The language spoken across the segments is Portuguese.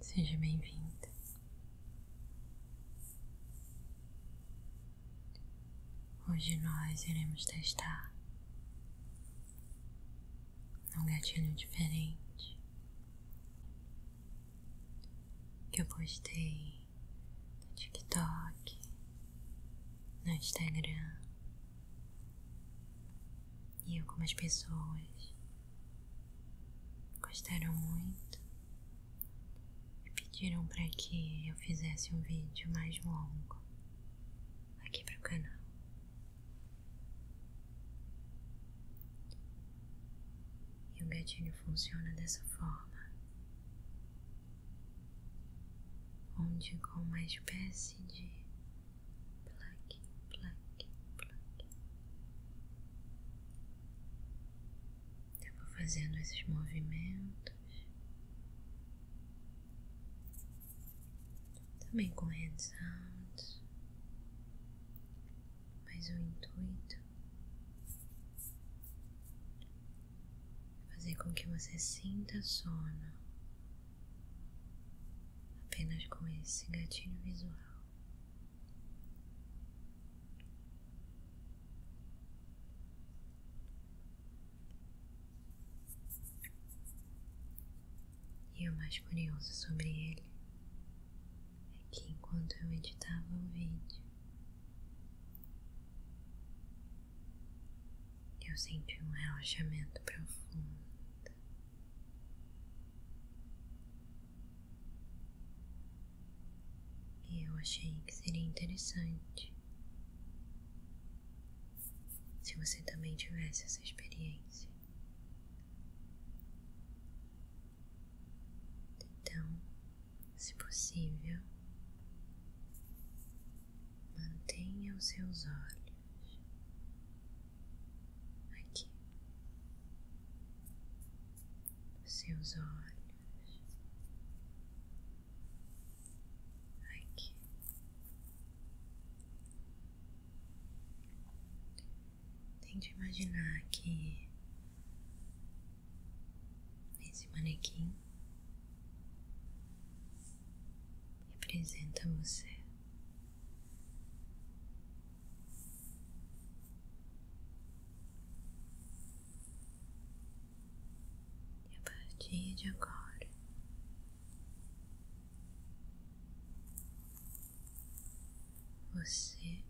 Seja bem vindo Hoje nós iremos testar um gatilho diferente que eu postei no TikTok, no Instagram e algumas pessoas gostaram muito e pediram para que eu fizesse um vídeo mais longo aqui para o canal. E o gatilho funciona dessa forma, onde com uma espécie de plaque, plaque, plaque. Eu vou fazendo esses movimentos também com hands mas o intuito é fazer com que você sinta sono apenas com esse gatinho visual. E o mais curioso sobre ele é que enquanto eu editava o vídeo, eu senti um relaxamento profundo e eu achei que seria interessante se você também tivesse essa experiência. Então, se possível, Mantenha os seus olhos aqui, os seus olhos aqui. Tente imaginar que esse manequim representa você. E a partir de agora, você,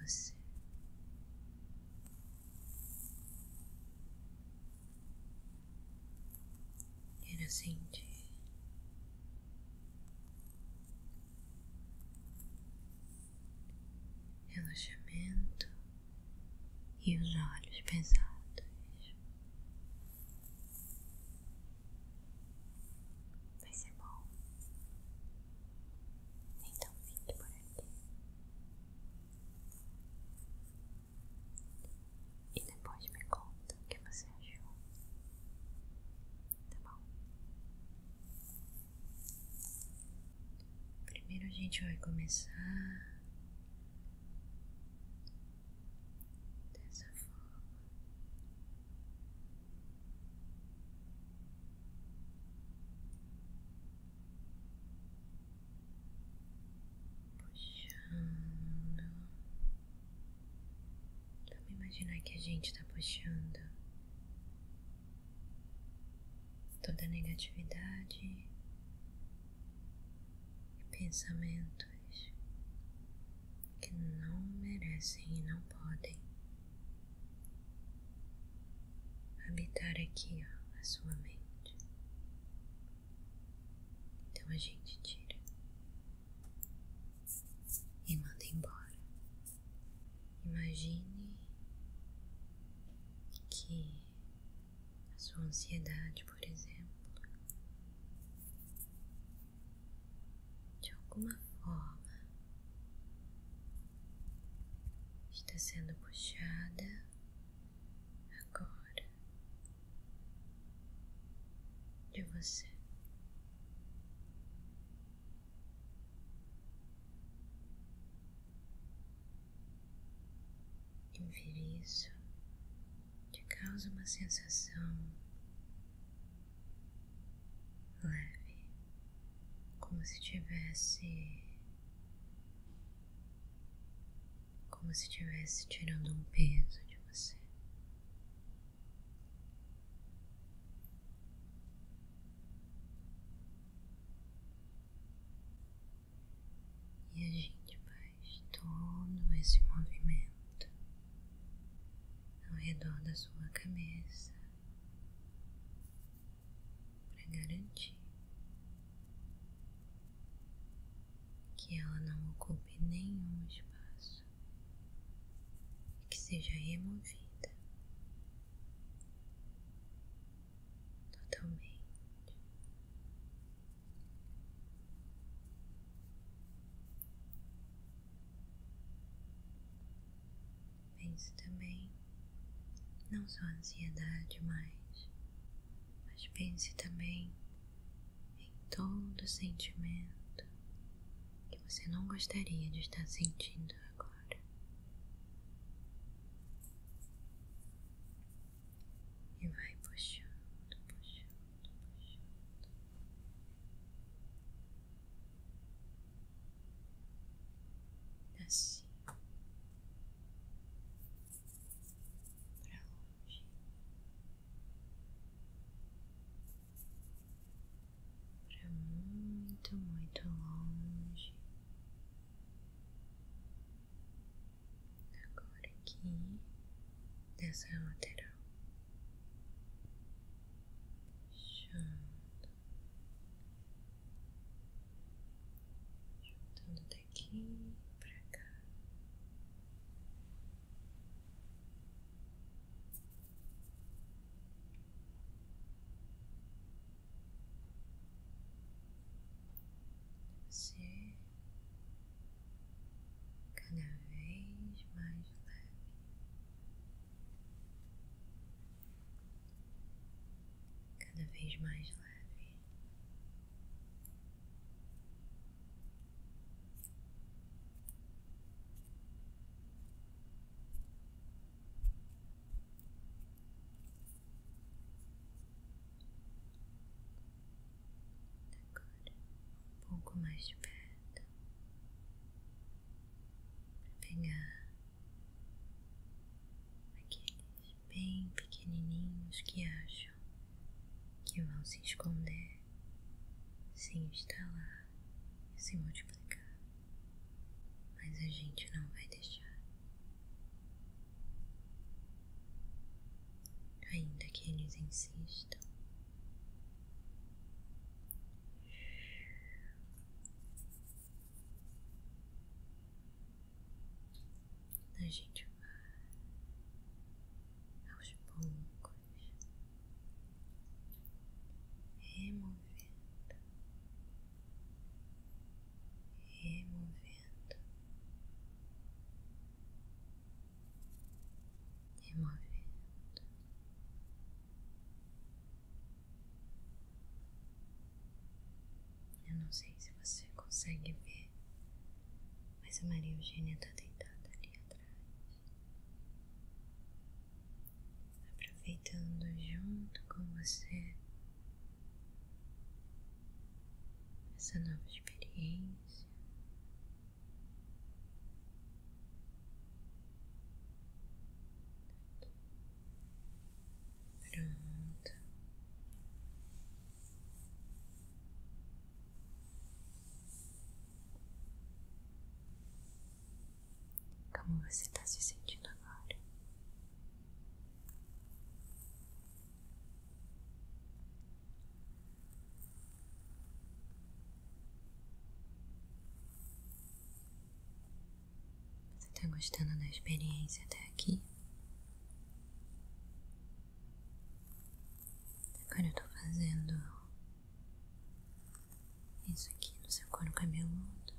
você Quero sentir relaxamento e os olhos pesados. Vai ser bom. Então fique por aqui. E depois me conta que você achou. Tá bom? Primeiro a gente vai começar dessa forma puxando. Vamos imaginar que a gente tá puxando toda negatividade e pensamentos que não merecem e não podem habitar aqui ó, a sua mente. Então a gente tira e manda embora. Imagine que a sua ansiedade, por exemplo, de alguma forma está sendo puxada agora de você. E ver isso te causa uma sensação leve, como se tivesse como se estivesse tirando um peso de você. E a gente faz todo esse movimento ao redor da sua cabeça para garantir que ela não ocupe nenhum espaço e que seja removida totalmente. Pense também não só a ansiedade, mas mas pense também em todo sentimento que você não gostaria de estar sentindo agora. E vai puxando, puxando, puxando. Assim pra longe, pra muito, muito longe. Agora aqui dessa lateral, puxando, daqui pra cá. Você cada vez mais leve cada vez mais leve. um pouco mais de perto, para pegar aqueles bem pequenininhos que acham que vão se esconder, se instalar e se multiplicar, mas a gente não vai deixar. Ainda que eles insistam a gente vai aos poucos removendo, removendo, removendo. Removendo, eu não sei se você consegue ver, mas a Maria Eugênia está deitada ali atrás, aproveitando junto com você essa nova experiência. Como você está se sentindo agora? Você tá gostando da experiência até aqui? Agora eu tô fazendo isso aqui no seu couro cabeludo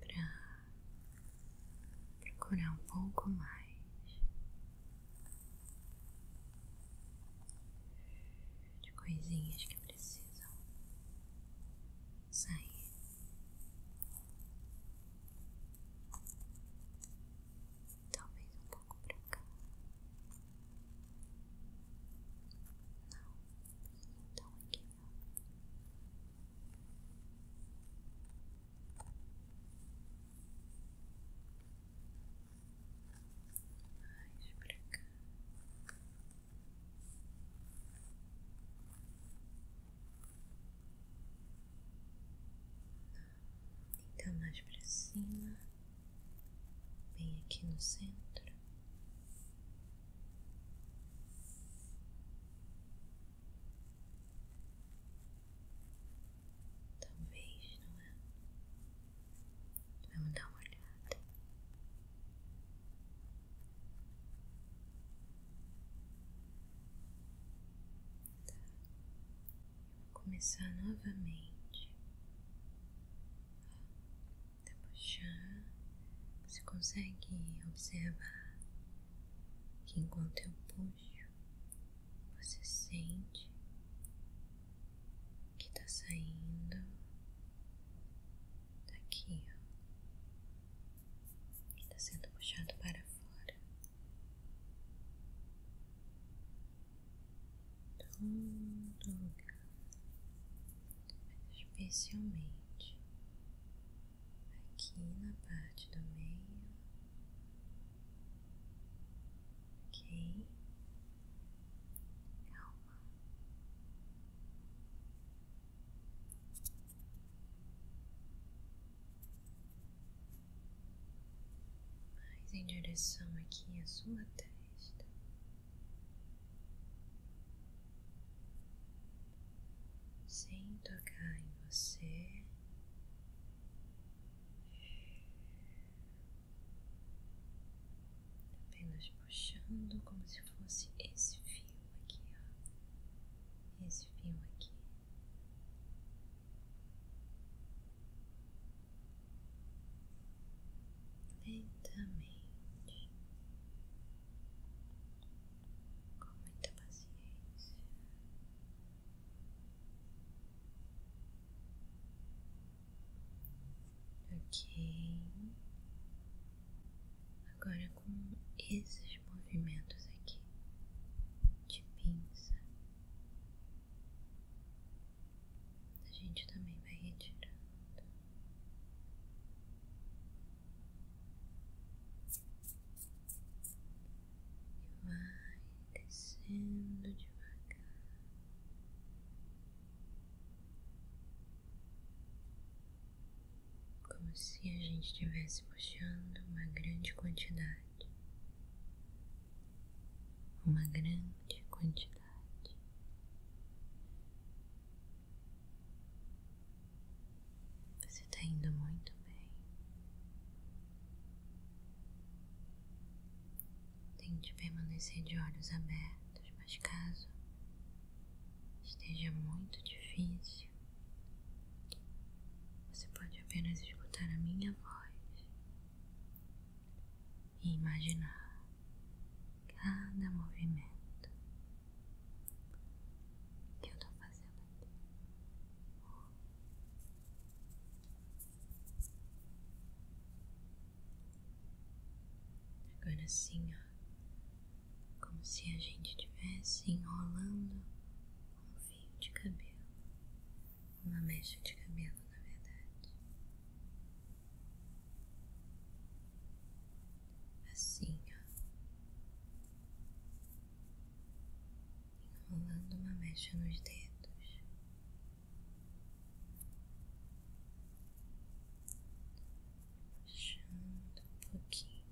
para procurar um pouco mais de coisinhas que precisam sair. Talvez um pouco pra cá. Não, então aqui não. Mais pra então, mais para cima, bem aqui no centro. Talvez, não é? Vamos dar uma olhada. Vou começar novamente a tá puxar. Você consegue observar que enquanto eu puxo, você sente que está saindo aqui, ó, está sendo puxado para fora. Todo lugar, especialmente aqui na parte do meio, ok? mais em direção aqui à sua testa. Sem tocar em você, apenas puxando como se fosse esse fio aqui, ó. esse fio aqui. Lentamente, com muita paciência. Ok. Agora com esses movimentos aqui de pinça, a gente também vai retirando. e Vai descendo devagar como se a gente estivesse puxando uma grande quantidade, uma grande quantidade. Você está indo muito bem. Tente permanecer de olhos abertos mas caso esteja muito difícil, você pode apenas escutar a minha voz e imaginar cada movimento que eu estou fazendo aqui. Agora sim, ó. Como se a gente estivesse enrolando um fio de cabelo. Uma mecha de cabelo, na verdade. Assim, ó. Enrolando uma mecha nos dedos puxando um pouquinho,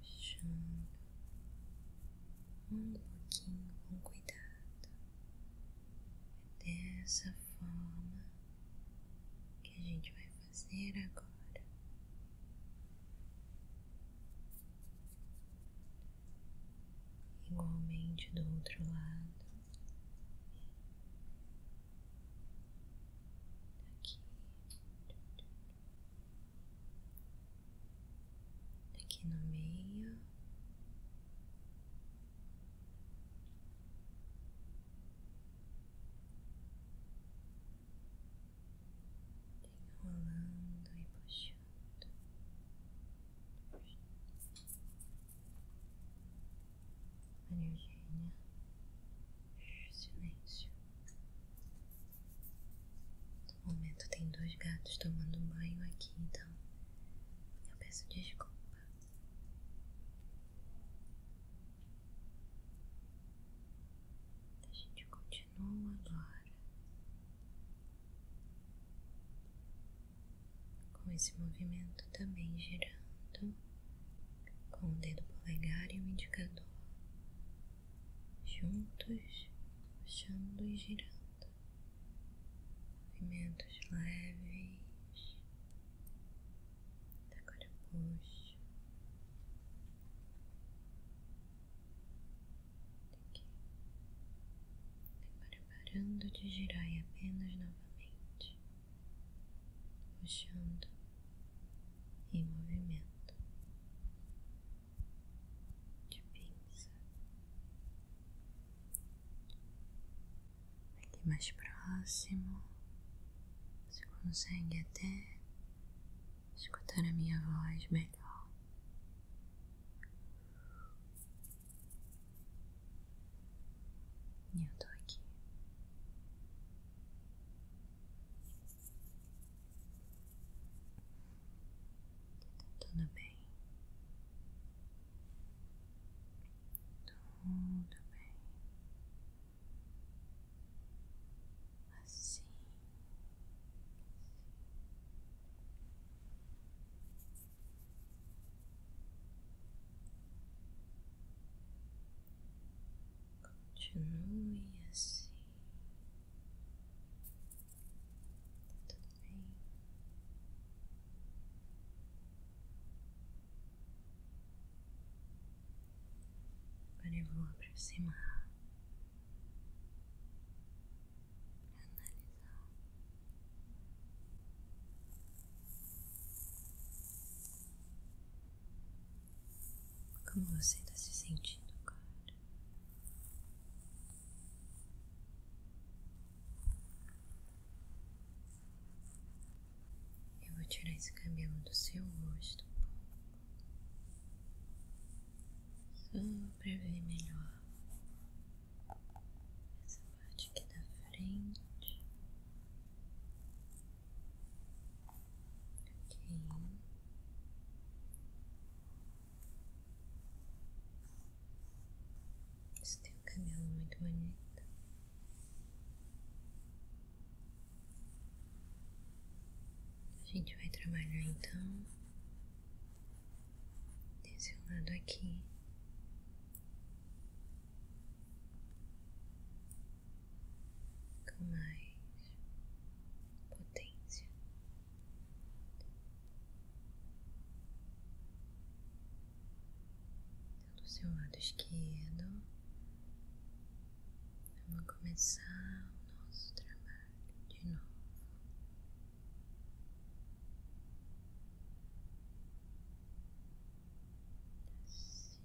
puxando um pouquinho com cuidado. É dessa forma que a gente vai fazer agora igualmente do outro lado, aqui, aqui no meio enrolando e puxando. Maria Eugênia, silêncio. No momento tem dois gatos tomando banho aqui, então eu peço desculpa. A gente continua. Continua agora com esse movimento também girando com o dedo polegar e o indicador juntos, puxando e girando. Movimentos leves. Agora puxo. Aqui. Preparando de girar e apenas novamente, puxando em movimento de pinça. Aqui mais próximo, você consegue até escutar a minha voz melhor. E eu tô aqui. Tá tudo bem. Tudo bem. Assim. Continue assim. tudo bem. Agora eu vou aproximar analisar. Como você está se sentindo agora? Eu vou tirar esse cabelo do seu rosto um pouco para ver melhor essa parte aqui da frente. Ok. Isso tem um cabelo muito bonito. A gente vai trabalhar então desse lado aqui. Com mais potência. Então, do seu lado esquerdo, vamos começar o nosso trabalho de novo. Assim,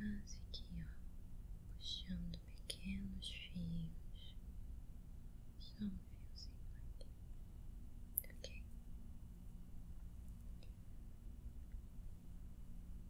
quase que ó, puxando pequenos fios, só um fiozinho aqui,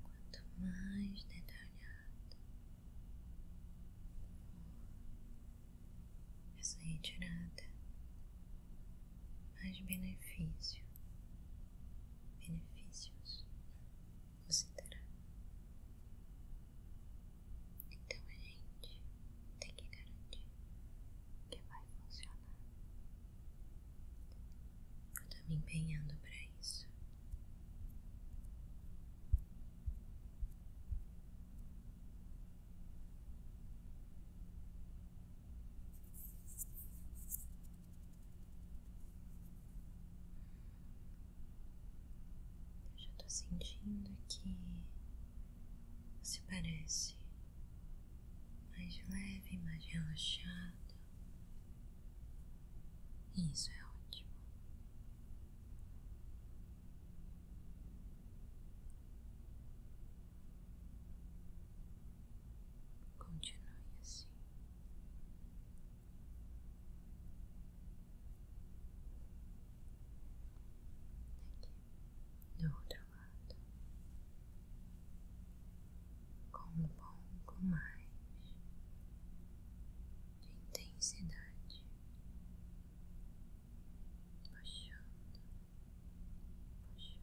Quanto mais detalhado for essa retirada, mais benefício, benefícios você terá. Então a gente tem que garantir que vai funcionar. Eu tô me empenhando pra isso. Eu já estou sentindo que você parece mais leve, mais relaxado. Isso é ótimo. Continue assim. daqui do outro lado. Com um pouco mais de intensidade. Baixando, baixando.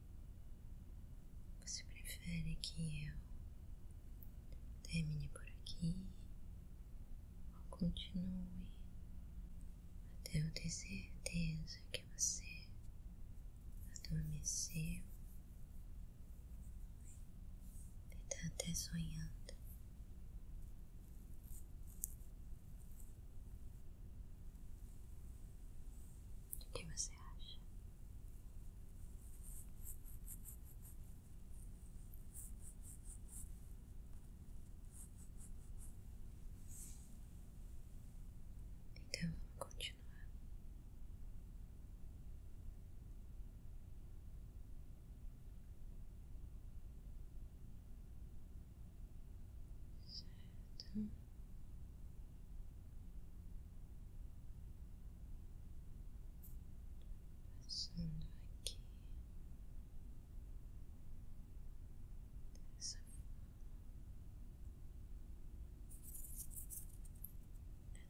Você prefere que eu termine por aqui ou continue até eu ter certeza que você adormeceu e está até sonhando? O que você acha? Então vamos continuar. Certo passando aqui dessa forma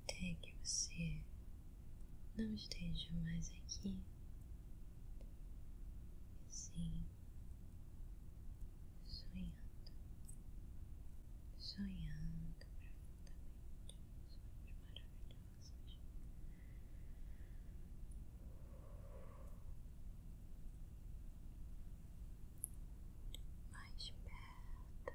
até que você não esteja mais aqui sim sonhando sonhando profundamente Mais perto, mais perto.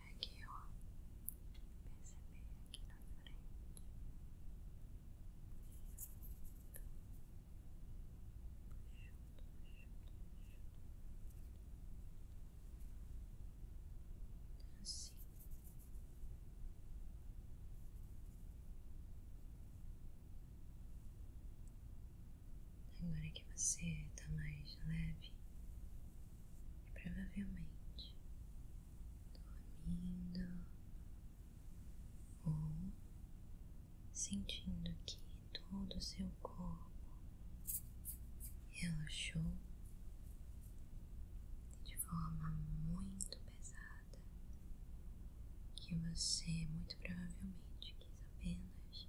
consegue, ó, perceber aqui na frente. Assim. Agora que você tá mais leve provavelmente dormindo ou sentindo que todo o seu corpo relaxou de forma muito pesada, que você muito provavelmente quis apenas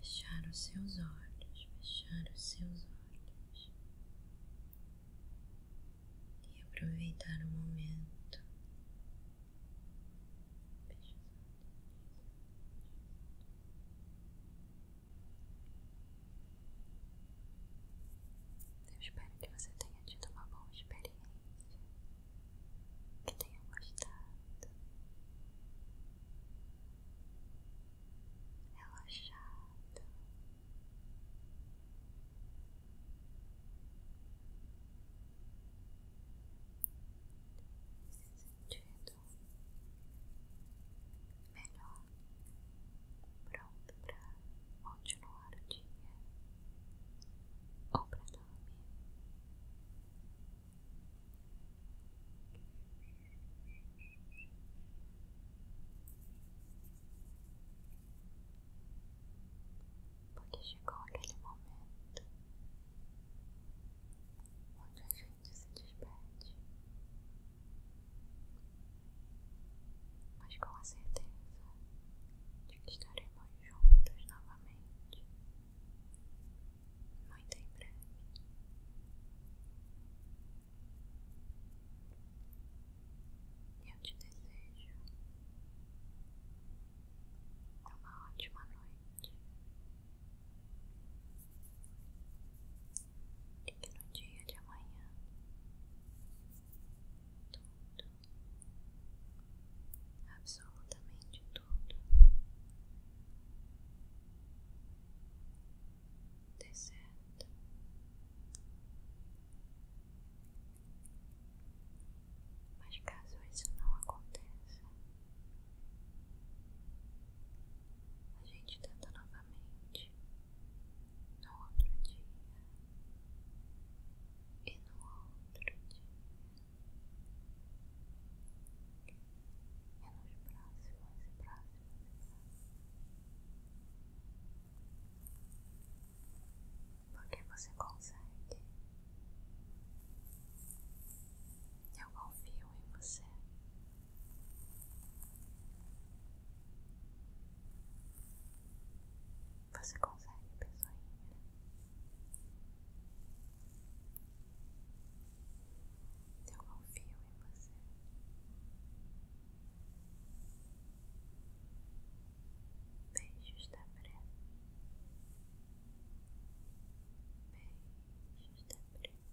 fechar os seus olhos, fechar os seus olhos e aproveitar o momento. Eu espero que você tenha tido uma boa experiência, que tenha gostado relaxado. Nesse sentido, melhor, pronto para continuar o dia ou para dormir. Porque chegou aquele momento onde a gente se despede, mas com certeza de que estaremos juntos novamente muito em breve. Eu te desejo uma ótima noite e que no dia de amanhã tudo, absolutamente tudo tudo, dê certo. Mas caso isso não aconteça, a gente tenta novamente no outro dia e no outro dia. É nos braços, nos braços, nos braços. Porque você consegue. Eu confio em você. Você consegue, pessoinha. Eu confio em você. beijo da tá Bré. beijo da tá Bré. Até a próxima.